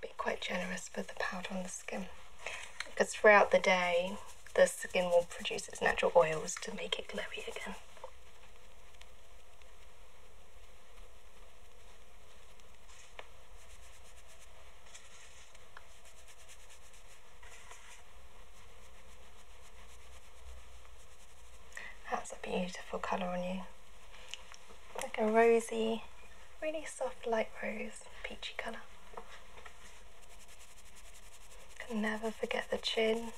Be quite generous with the powder on the skin because throughout the day the skin will produce its natural oils to make it glowy again. That's a beautiful colour on you. Like a rosy, really soft light rose, peachy colour. Can never forget the chin.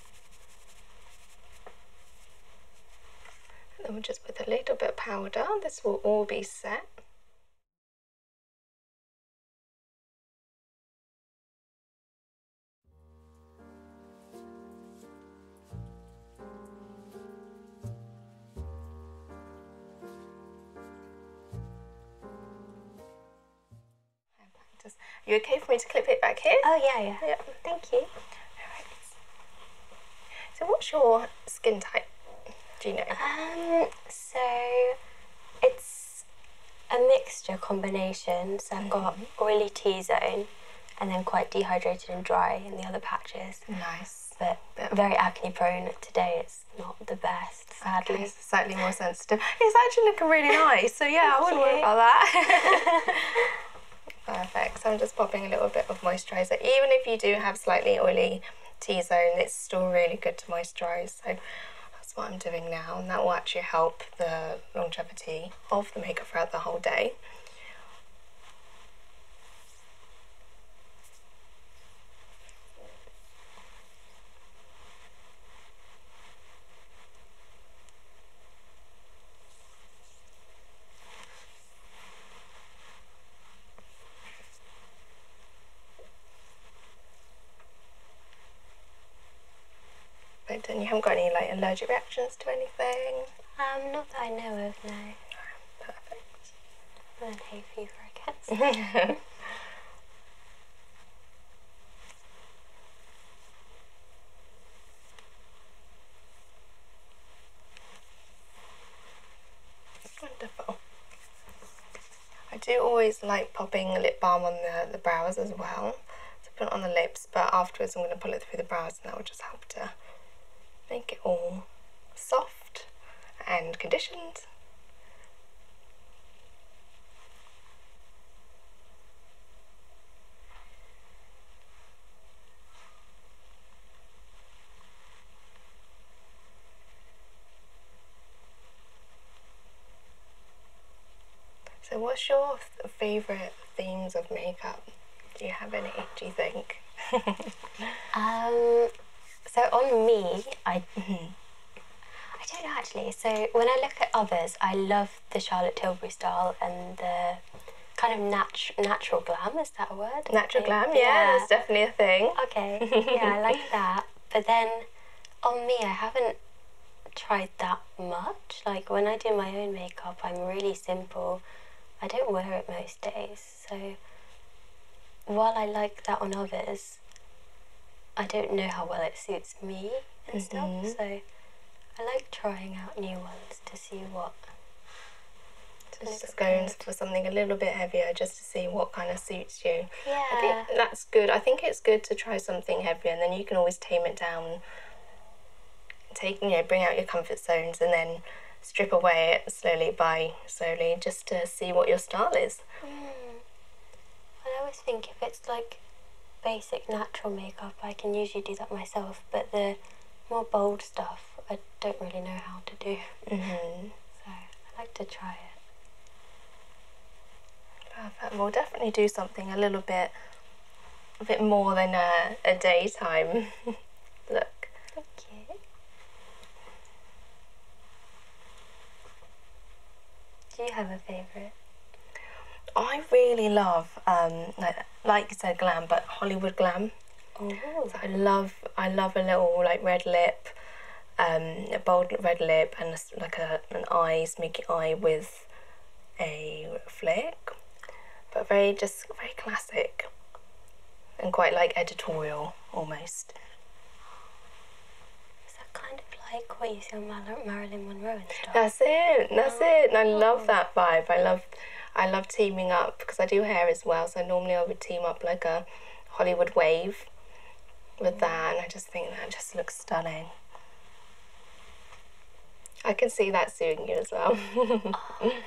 And then just put a little bit of powder, this will all be set. You okay for me to clip it back here? Oh yeah, yeah. Thank you. So what's your skin type? Do you know? Um, so it's a mixture combination. So I've got mm-hmm. oily T zone and then quite dehydrated and dry in the other patches. Nice but, very acne prone today. It's not the best, sadly. slightly more sensitive. It's actually looking really nice, so yeah, I wouldn't worry about that. Perfect. So I'm just popping a little bit of moisturiser. Even if you do have slightly oily T-zone, it's still really good to moisturise. So that's what I'm doing now, and that will actually help the longevity of the makeup throughout the whole day and you haven't got any like allergic reactions to anything? Um, not that I know of, no. no perfect. And hay fever, I Wonderful. I do always like popping lip balm on the, the brows as well to put it on the lips, but afterwards I'm going to pull it through the brows flowers and that would just help to make it all soft and conditioned. So what's your favourite themes of makeup? Do you have any, do you think? Um, so on me, I mm-hmm. I don't know actually. So when I look at others, I love the Charlotte Tilbury style and the kind of natu- natural glam. Is that a word? Natural glam, yeah, yeah, that's definitely a thing. Okay, yeah, I like that. But then on me, I haven't tried that much. Like when I do my own makeup, I'm really simple. I don't wear it most days. So while I like that on others, I don't know how well it suits me and stuff. Mm-hmm. So I like trying out new ones to see what. just going for something a little bit heavier just to see what kind of suits you. Yeah. that's good. I think it's good to try something heavier and then you can always tame it down. Take, you know, bring out your comfort zones and then strip away slowly by slowly just to see what your style is. Hmm. I always think if it's like basic natural makeup, I can usually do that myself, but the more bold stuff, I don't really know how to do. Mm-hmm. So I like to try it. Perfect. We'll definitely do something a little bit, a bit more than a, a daytime look do you have a favorite I really love um, like like you said glam but Hollywood glam oh. I love I love a little like red lip um, a bold red lip and like a an eye smoky eye with a flick but very just very classic and quite like editorial almost. Is that kind of like what you see Marilyn Monroe That's it. That's oh. it. I love that vibe. I love, I love teaming up because I do hair as well. So normally I would team up like a Hollywood wave with that, and I just think that just looks stunning. I can see that suiting you as well. Oh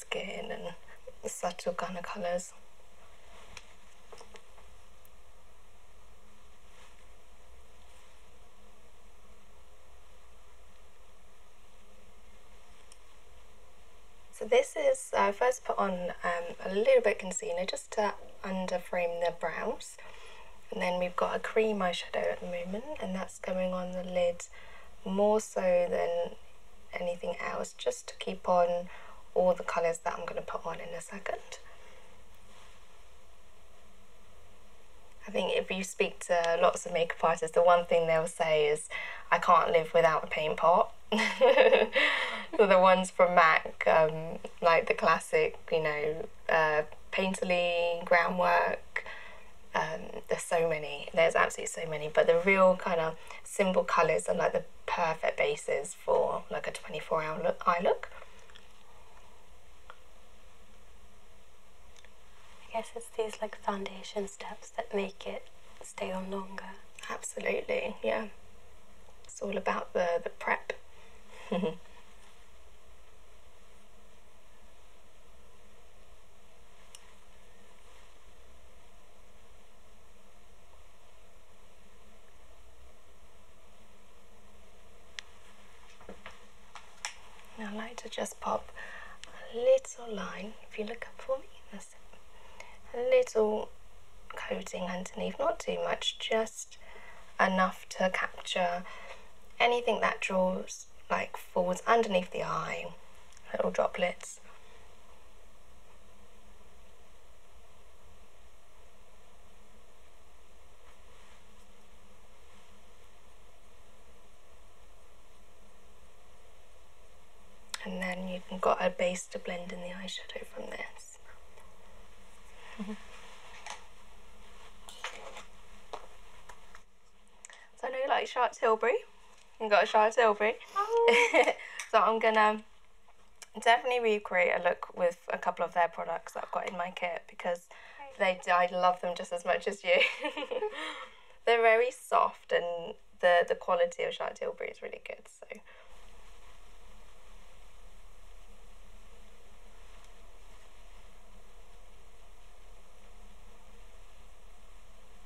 skin and subtle kind of colours. So this is, I uh, first put on um, a little bit concealer just to underframe the brows. And then we've got a cream eyeshadow at the moment and that's going on the lid more so than anything else just to keep on all the colours that I'm going to put on in a second. I think if you speak to lots of makeup artists, the one thing they'll say is, I can't live without a paint pot. the ones from MAC, um, like the classic, you know, uh, Painterly, groundwork, um, there's so many there's absolutely so many but the real kind of simple colors are like the perfect bases for like a 24 hour look, eye look I guess it's these like foundation steps that make it stay on longer absolutely yeah it's all about the the prep I like to just pop a little line, if you look up for me, A little coating underneath, not too much, just enough to capture anything that draws like falls underneath the eye, little droplets. And then you've got a base to blend in the eyeshadow from this. So I know you like Charlotte Tilbury and got shards over it. Oh. so I'm gonna definitely recreate a look with a couple of their products that I've got in my kit because they I love them just as much as you. They're very soft and the, the quality of Shark is really good. So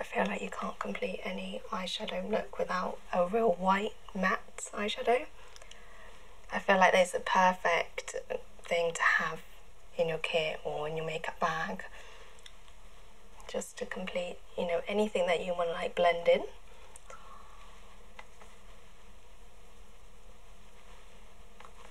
I feel like you can't complete any eyeshadow look without a real white matte eyeshadow. I feel like there's a perfect thing to have in your kit or in your makeup bag just to complete you know anything that you want to like blend in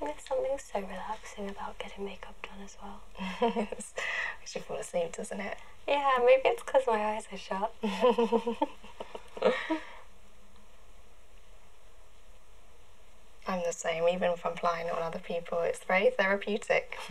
And there's something so relaxing about getting makeup done as well. yes. should you fall asleep, doesn't it? Yeah, maybe it's because my eyes are shut. I'm the same, even if I'm flying on other people, it's very therapeutic.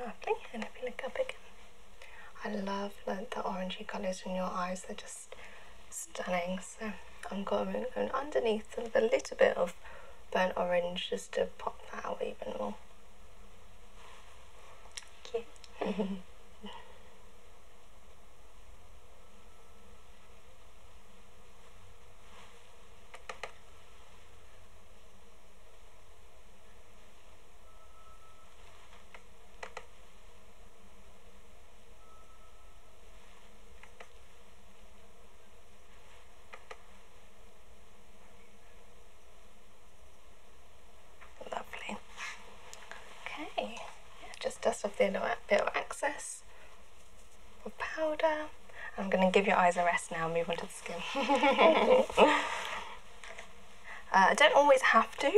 Lovely, and if you look up again. I love the orangey colours in your eyes, they're just stunning. So I'm going, going underneath with a little bit of burnt orange just to pop that out even more. Cute. Lovely. Okay, just dust off the inner bit of excess with powder. I'm going to give your eyes a rest now, move on to the Uh, I don't always have to,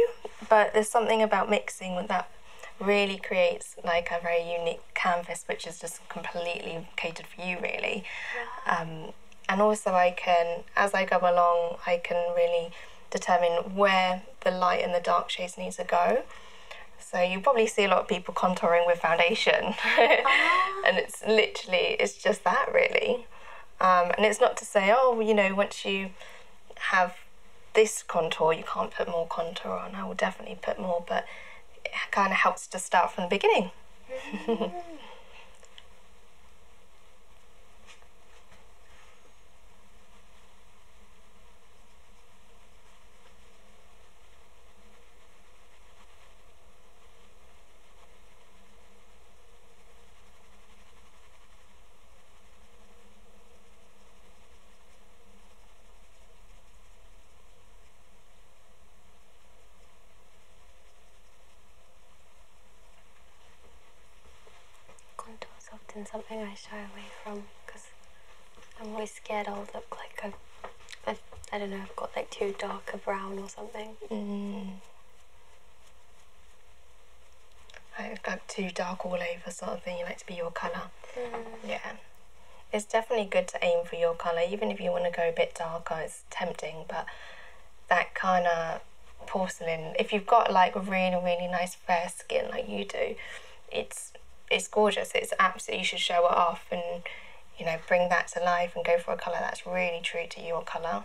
but there's something about mixing that really creates like a very unique canvas which is just completely catered for you really um, and also I can as I go along I can really determine where the light and the dark shades need to go so you probably see a lot of people contouring with foundation ah it's literally it's just that really, um, and it's not to say oh you know once you have this contour you can't put more contour on. I will definitely put more, but it kind of helps to start from the beginning. Mm-hmm. Contour is often something I shy away from because I'm always scared I'll look like a, a I don't know, I've got like too dark a brown or something. I've got too dark all over sort of thing, you like to be your colour. Mm. Yeah. It's definitely good to aim for your colour, even if you want to go a bit darker, it's tempting, but that kind of porcelain, if you've got like really, really nice fair skin like you do, it's it's gorgeous. It's absolutely, you should show it off and you know bring that to life and go for a colour that's really true to your colour.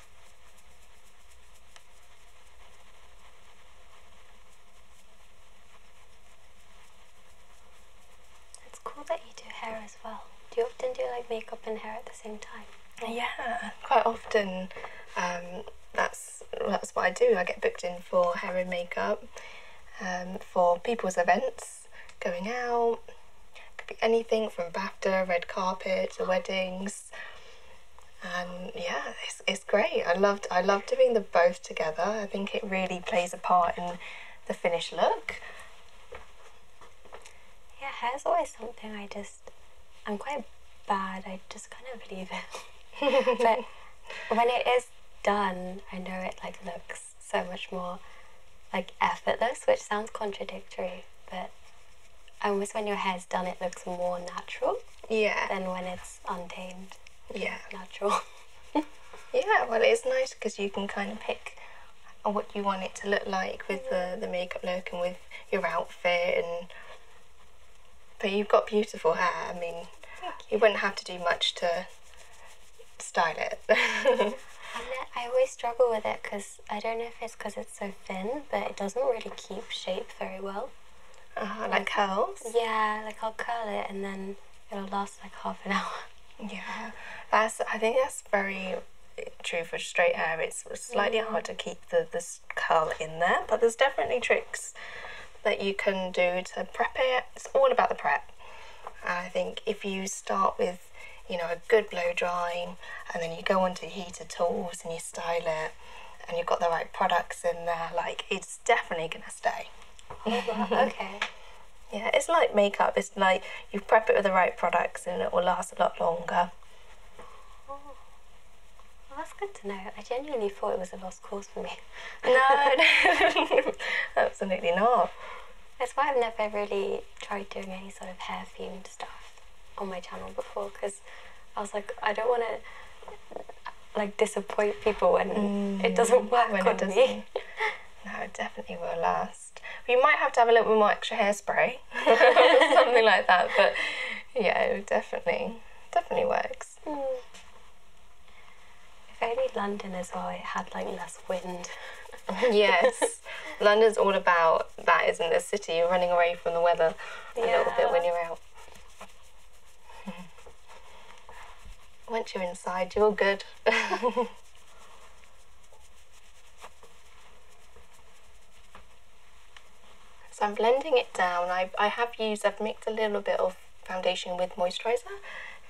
It's cool that you do hair as well. Do you often do like makeup and hair at the same time? Yeah, quite often. Um, that's that's what I do. I get booked in for hair and makeup, um, for people's events, going out. Could be anything from BAFTA, red carpet, to weddings and yeah it's, it's great I loved I loved doing the both together I think it really plays a part in the finished look yeah hair's always something I just I'm quite bad I just can't believe it but when it is done I know it like looks so much more like effortless which sounds contradictory but almost when your hair's done, it looks more natural. Yeah. Than when it's untamed. Yeah. Natural. yeah, well, it's nice because you can kind of pick what you want it to look like with the, mm-hmm. the makeup look and with your outfit and but you've got beautiful hair i mean you. wouldn't have to do much to style it and i always struggle with it because I don't know if it's because it's so thin, but it doesn't really keep shape very well. Uh-huh, like, curls? Yeah, like I'll curl it and then it'll last like half an hour. Yeah, that's. I think that's very eh, true for straight hair. It's slightly hard to keep the this curl in there, but there's definitely tricks that you can do to prep it. It's all about the prep. I think if you start with, you know, a good blow drying, and then you go onto heated tools and you style it and you've got the right products in there, like it's definitely gonna stay. okay. yeah, it's like makeup. It's like you prep it with the right products and it will last a lot longer. Oh. that's good to know. I genuinely thought it was a lost cause for me. no, absolutely not. That's why I've never really tried doing any sort of hair theme stuff on my channel before because I was like, I don't want to like disappoint people when it mm. doesn't work doesn't. no, it definitely will last. We might have to have a little bit more extra hairspray, something like that. But yeah, definitely, definitely works. Mm. If only London as well, it had like less wind. yes, London's all about that, isn't the city? You're running away from the weather a little bit when you're out. Once you're inside, you're good. So I'm blending it down. I, I have used, I've mixed a little bit of foundation with moisturiser.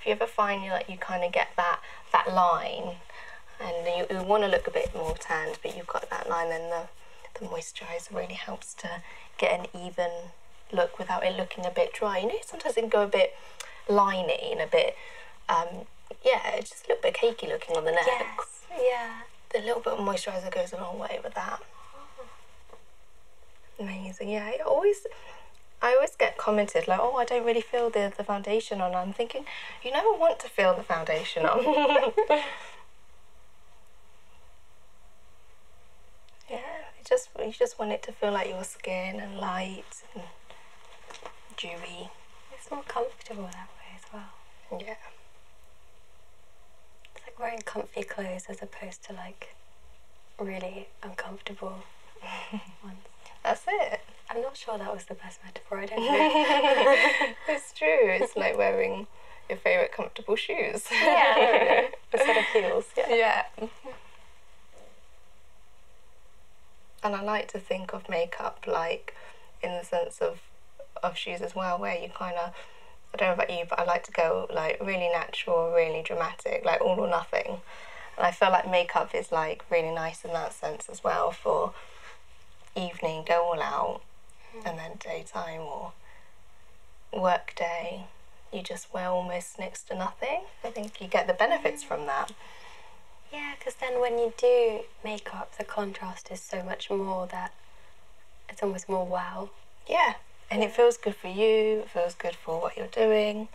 If you ever find you like you kind of get that that line and you, want to look a bit more tanned but you've got that line and the, moisturiser really helps to get an even look without it looking a bit dry. You know, sometimes it can go a bit liney and a bit, um, yeah, just a little bit cakey looking on the neck. Yes, yeah. The little bit of moisturiser goes a long way with that. Amazing, yeah. I always, I always get commented like, oh, I don't really feel the, the foundation on. I'm thinking, you never want to feel the foundation on. yeah, you just you just want it to feel like your skin and light and dewy. It's more comfortable that way as well. Yeah. It's like wearing comfy clothes as opposed to like really uncomfortable ones. That's it. I'm not sure that was the best metaphor. I don't know it's true. It's like wearing your favorite comfortable shoes. Yeah, a set of heels. Yeah. yeah. And I like to think of makeup like in the sense of of shoes as well, where you kind of I don't know about you, but I like to go like really natural, really dramatic, like all or nothing. And I feel like makeup is like really nice in that sense as well for evening, go all out, hmm. and then daytime or workday, you just wear almost next to nothing. I think you get the benefits hmm. from that. Yeah, because then when you do makeup, the contrast is so much more that it's almost more wow. Yeah, and it feels good for you, it feels good for what you're doing.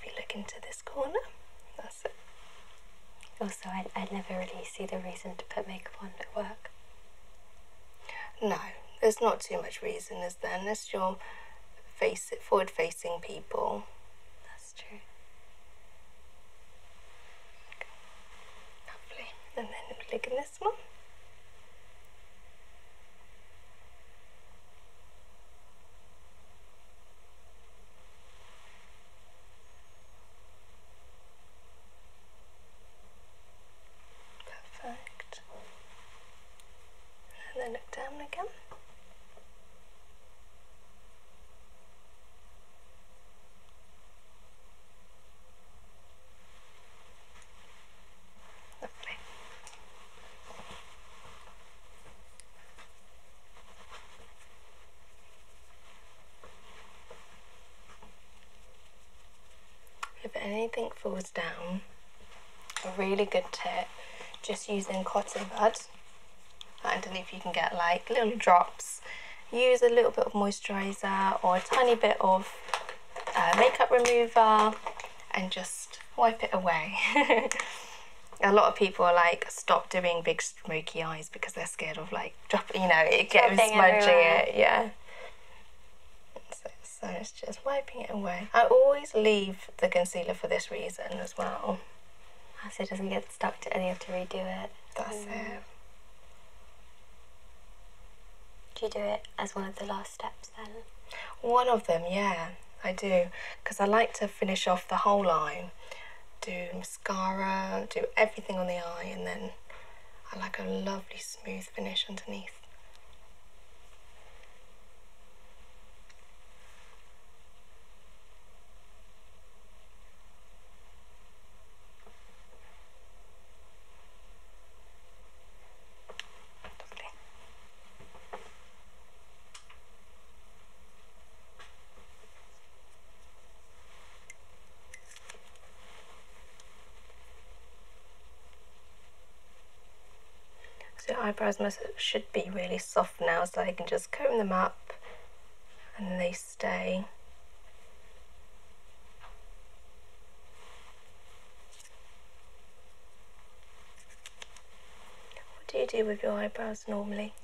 if you look into this corner. That's it. Also, I, never really see the reason to put makeup on at work. No, there's not too much reason, is there? Unless you're face forward-facing people. That's true. Lovely. And then look at this one. Perfect. And then look down again. Lovely. If anything falls down, a really good tip, just using cotton buds. I don't know if you can get like little drops. Use a little bit of moisturiser or a tiny bit of uh, makeup remover and just wipe it away. a lot of people are like, stop doing big smoky eyes because they're scared of like dropping, you know, it gets smudging it. Yeah. So, it's just wiping it away. I always leave the concealer for this reason as well. Ah, so it doesn't get stuck to and you have to redo it. That's mm. it. Do you do it as one of the last steps then? One of them, yeah, I do because I like to finish off the whole eye, do mascara, do everything on the eye, and then I like a lovely smooth finish underneath. So eyebrows must, should be really soft now so I can just comb them up and they stay. What do you do with your eyebrows normally?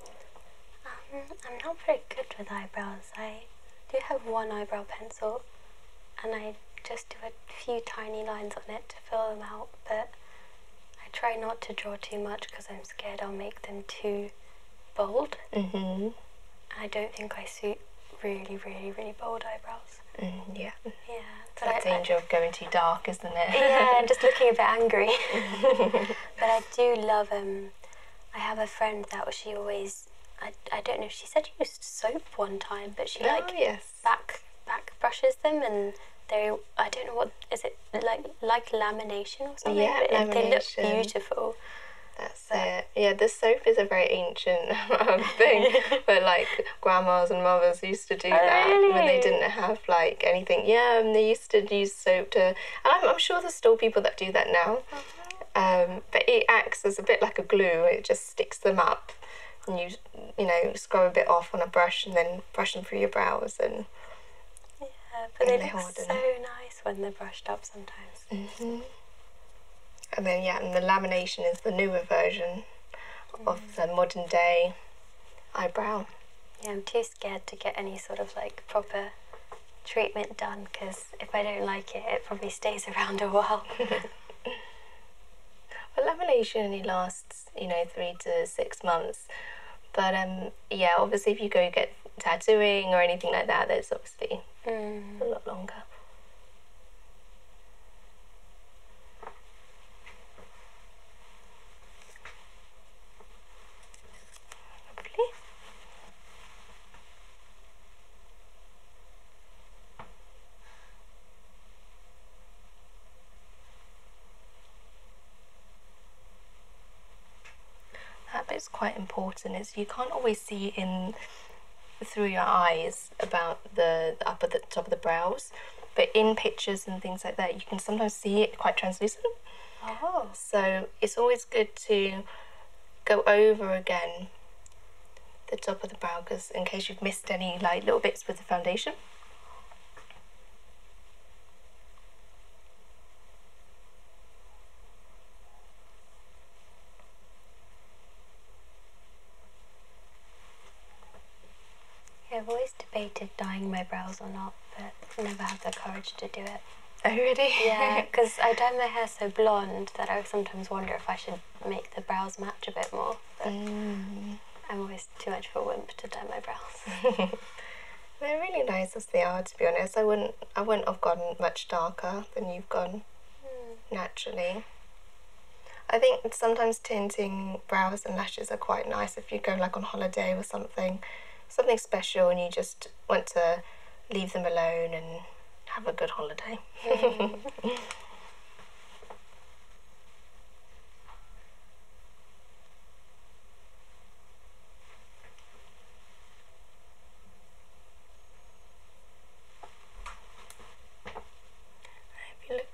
Um, I'm not very good with eyebrows. I do have one eyebrow pencil and I just do a few tiny lines on it to fill them out, but I try not to draw too much because I'm scared I'll make them too bold. hmm I don't think I suit really, really, really bold eyebrows. Mm, yeah. Yeah. That danger of going too dark, isn't it? yeah, and just looking a bit angry. but I do love. Um, I have a friend that she always. I, I don't know. She said she used soap one time, but she oh, like back back brushes them and they. I don't know what is it like like lamination or something. Yeah, lamination. They look beautiful. That's it. Yeah, the soap is a very ancient um, thing, but like grandmas and mothers used to do that when they didn't have like anything. Yeah, um, they used to use soap to. And I'm, sure there's still people that do that now. Uh-huh. Um, but it acts as a bit like a glue. It just sticks them up, and you you know scrub a bit off on a brush and then brush them through your brows and. Yeah, but they look so nice when they're brushed up sometimes. Mm-hmm. And then yeah, and the lamination is the newer version of mm. the modern day eyebrow. Yeah, I'm too scared to get any sort of like proper treatment done because if I don't like it, it probably stays around a while. well, lamination only lasts, you know, three to six months. But um, yeah, obviously, if you go get tattooing or anything like that, that's obviously mm. a lot longer. Lovely. That bit's quite important is you can't always see in through your eyes about the up at the top of the brows but in pictures and things like that, you can sometimes see it quite translucent. Oh. So it's always good to go over again the top of the brow because in case you've missed any like little bits with the foundation. I've always debated dyeing my brows or not, but never had the courage to do it. Oh, really? yeah, because I dye my hair so blonde that I sometimes wonder if I should make the brows match a bit more. Mm. I'm always too much of a wimp to dye my brows. They're really nice as they are, to be honest. I wouldn't, I wouldn't have gone much darker than you've gone hmm. naturally. I think sometimes tinting brows and lashes are quite nice, if you go like on holiday or something, something special, and you just want to leave them alone and have a good holiday. Mm.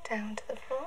down to the floor.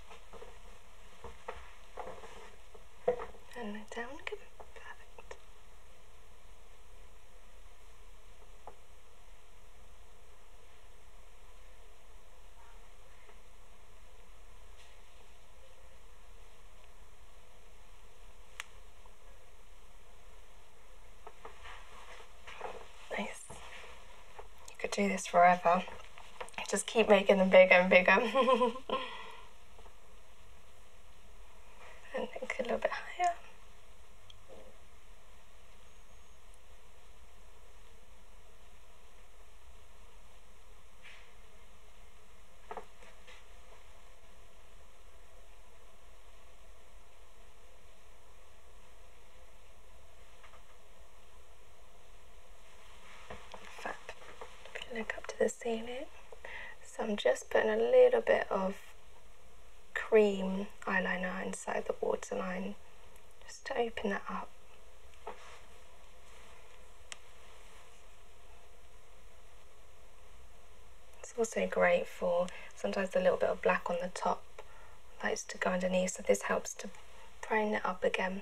And let down, good, perfect. Nice. You could do this forever. Just keep making them bigger and bigger. and a little bit higher. Fab. Look up to the ceiling. So I'm just putting a little bit of cream eyeliner inside the waterline just to open that up. It's also great for sometimes a little bit of black on the top likes to go underneath so this helps to prime it up again.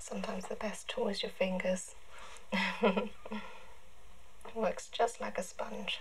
Sometimes the best tool is your fingers. works just like a sponge.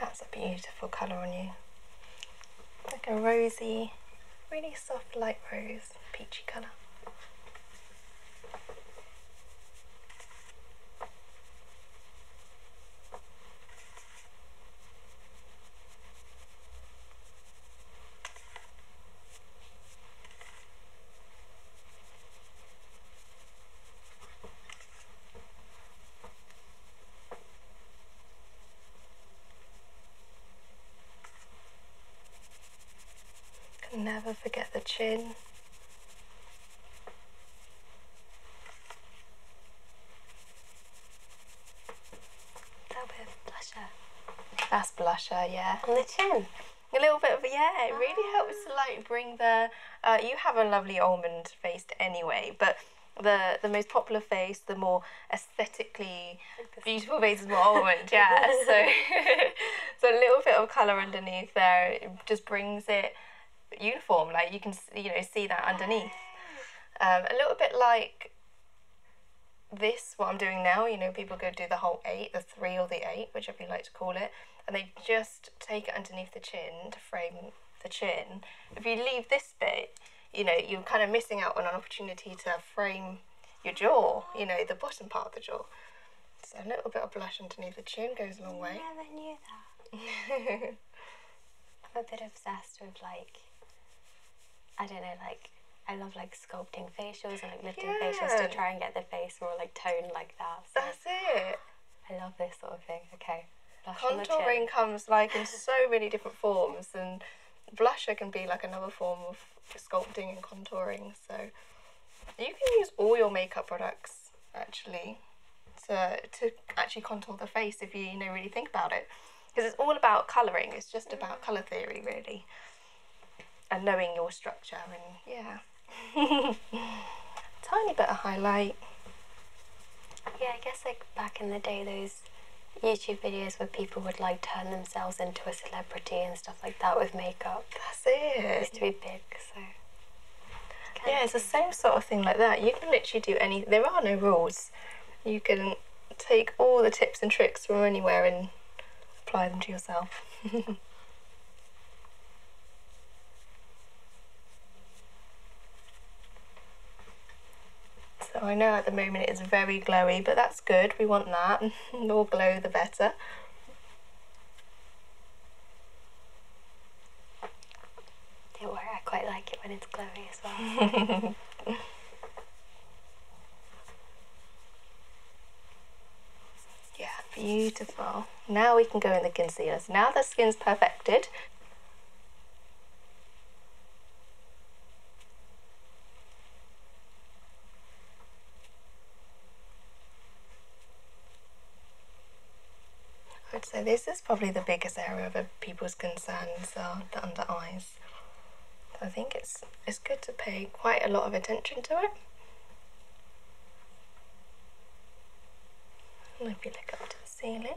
That's a beautiful colour on you. Like a rosy, really soft light rose, peachy colour. Can never forget the chin that bit of blusher. That's blusher, yeah. On the chin. A little bit of, yeah, it really helps to like bring the, uh, you have a lovely almond face anyway, but the the most popular face, the more aesthetically beautiful face is more almond, yeah. so so a little bit of colour underneath there just brings it uniform, like you can you know see that underneath. Um, a little bit like this, what I'm doing now, you know, people go do the whole eight, the three or the eight, whichever you like to call it, and they just take it underneath the chin to frame the chin. If you leave this bit, you know, you're kind of missing out on an opportunity to frame your jaw, you know, the bottom part of the jaw. So a little bit of blush underneath the chin goes a long way. I never knew that. I'm a bit obsessed with like, I don't know, like, I love like sculpting facials and like lifting facials to try and get the face more like toned like that. That's it. I love this sort of thing. Okay. Contouring comes like in so many different forms and blusher can be like another form of sculpting and contouring. So you can use all your makeup products actually to to actually contour the face if you, you know really think about it because it's all about colouring, it's just about mm. colour theory, really, and knowing your structure. And yeah, tiny bit of highlight. Yeah, I guess like back in the day, those YouTube videos where people would like turn themselves into a celebrity and stuff like that with makeup. That's it. It used to be big, so. yeah, it's the same sort of thing like that. You can literally do any. There are no rules you can take all the tips and tricks from anywhere and apply them to yourself. so I know at the moment it is very glowy, but that's good, we want that. more glow the better. do I quite like it when it's glowy. yeah, beautiful. Now we can go in the concealers. Now the skin's perfected, I'd say this is probably the biggest area of people's concerns so uh, the under eyes. I think it's, it's good to pay quite a lot of attention to it. And if you look up to the ceiling,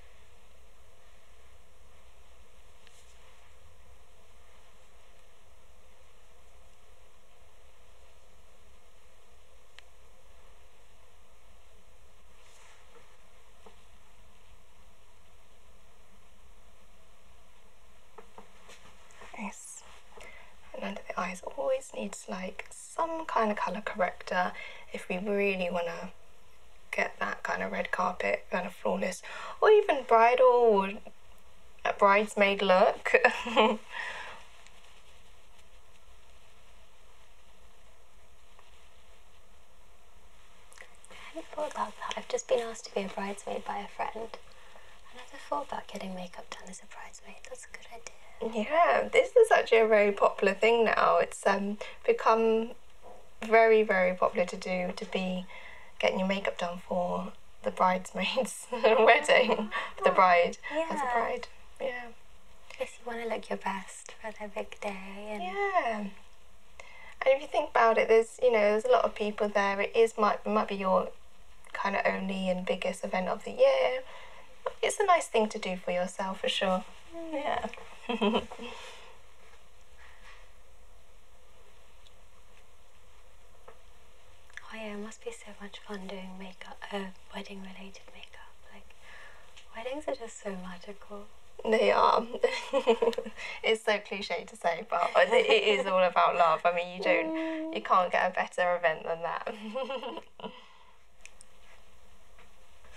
Nice. And under the eyes always needs like some kind of colour corrector if we really want to get that kind of red carpet kind of flawless or even bridal or a bridesmaid look. I hadn't thought about that. I've just been asked to be a bridesmaid by a friend. I never thought about getting makeup done as a bridesmaid. That's a good idea. Yeah, this is actually a very popular thing now it's um, become very, very popular to do to be getting your makeup done for the bridesmaid's wedding, the bride, as a bride. Yeah. Because you want to look your best for the big day. Yeah. And if you think about it, there's you know there's a lot of people there. It is might might be your kind of only and biggest event of the year. It's a nice thing to do for yourself for sure. Yeah. Oh yeah, it must be so much fun doing makeup, uh, wedding related makeup. Like, weddings are just so magical. They are. it's so cliche to say, but it is all about love. I mean, you don't, you can't get a better event than that.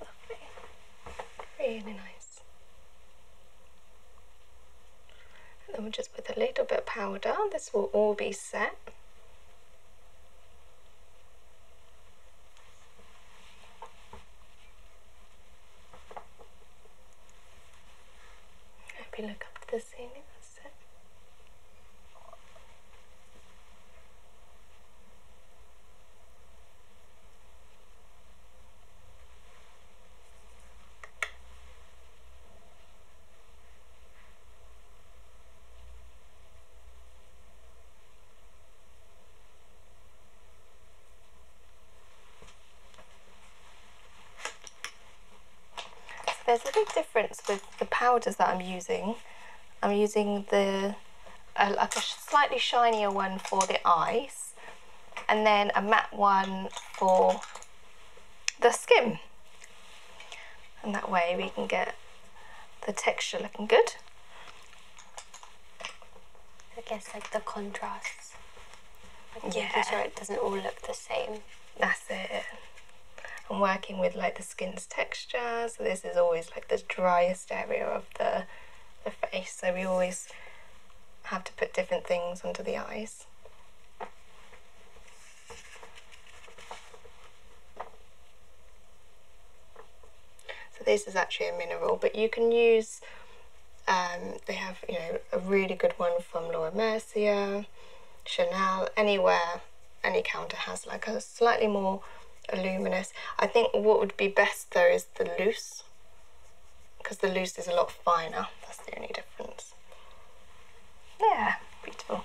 Lovely. Really nice. And then we'll just put a little bit of powder. This will all be set. If look up to the ceiling, there's a big difference with the, powders that I'm using, I'm using the like a slightly shinier one for the eyes and then a matte one for the skin. And that way we can get the texture looking good. I guess like the contrasts. yeah. making sure it doesn't all look the same. That's it. I'm working with like the skin's texture. So this is always like the driest area of the, the face. So we always have to put different things under the eyes. So this is actually a mineral, but you can use, um, they have, you know, a really good one from Laura Mercier, Chanel, anywhere, any counter has like a slightly more luminous. I think what would be best though is the loose because the loose is a lot finer. That's the only difference. Yeah, beautiful.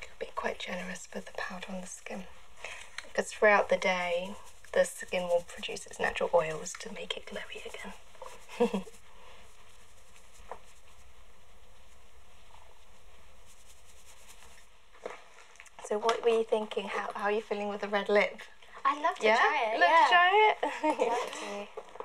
Could be quite generous with the powder on the skin because throughout the day the skin will produce its natural oils to make it glowy again. so what were you thinking? How, are you feeling with the red lip? I'd love to try it. Let's try it.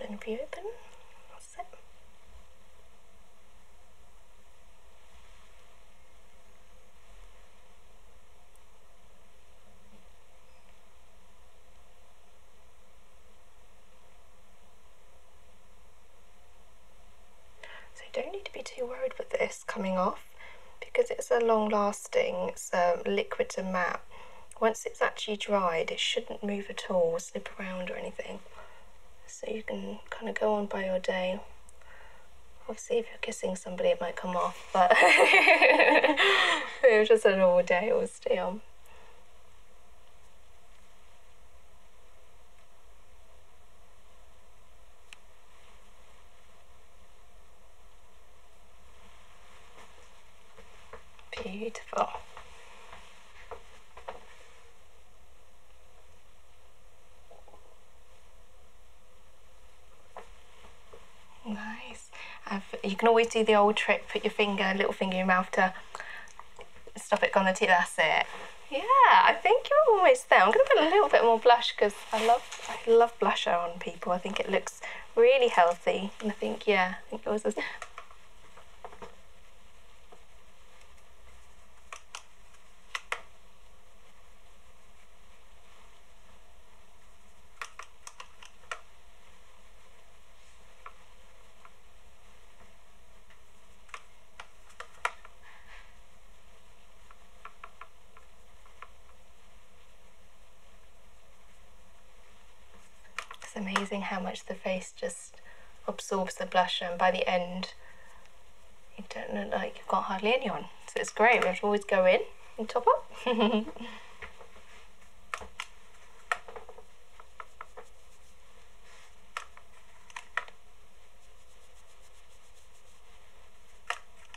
and open, That's it. So you don't need to be too worried with this coming off because it's a long lasting um, liquid to mat. Once it's actually dried, it shouldn't move at all, slip around or anything. So you can kind of go on by your day. Obviously, if you're kissing somebody, it might come off, but it was just a normal day, it stay on. Beautiful. Nice. you can always do the old trick, put your finger, little finger in your mouth to stop it, going to tea, that's it. Yeah, I think you're almost there. I'm going to put a little bit more blush because I love I love blusher on people. I think it looks really healthy. And I think, yeah, I think yours is. It's amazing how much the face just absorbs the blusher and by the end you don't look like you've got hardly any on. So it's great, we have to always go in and top up.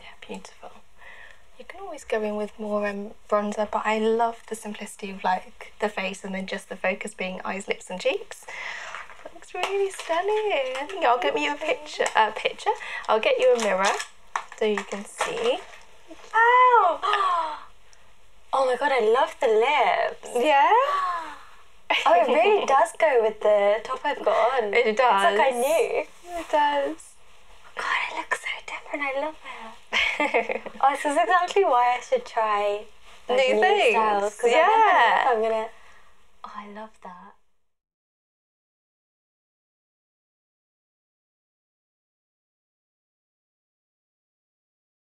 Yeah, beautiful. You can always go in with more um, bronzer, but I love the simplicity of like the face and then just the focus being eyes, lips and cheeks. looks really stunning. I think I'll get you a picture, picture. I'll get you a mirror so you can see. Wow! Oh my god, I love the lips. Yeah? oh, it really does go with the top I've got on. It does. It's like I knew. It does. Oh god, it looks so different. I love it. oh, this is exactly why I should try new things. Styles, yeah. I am gonna. Oh, I love that.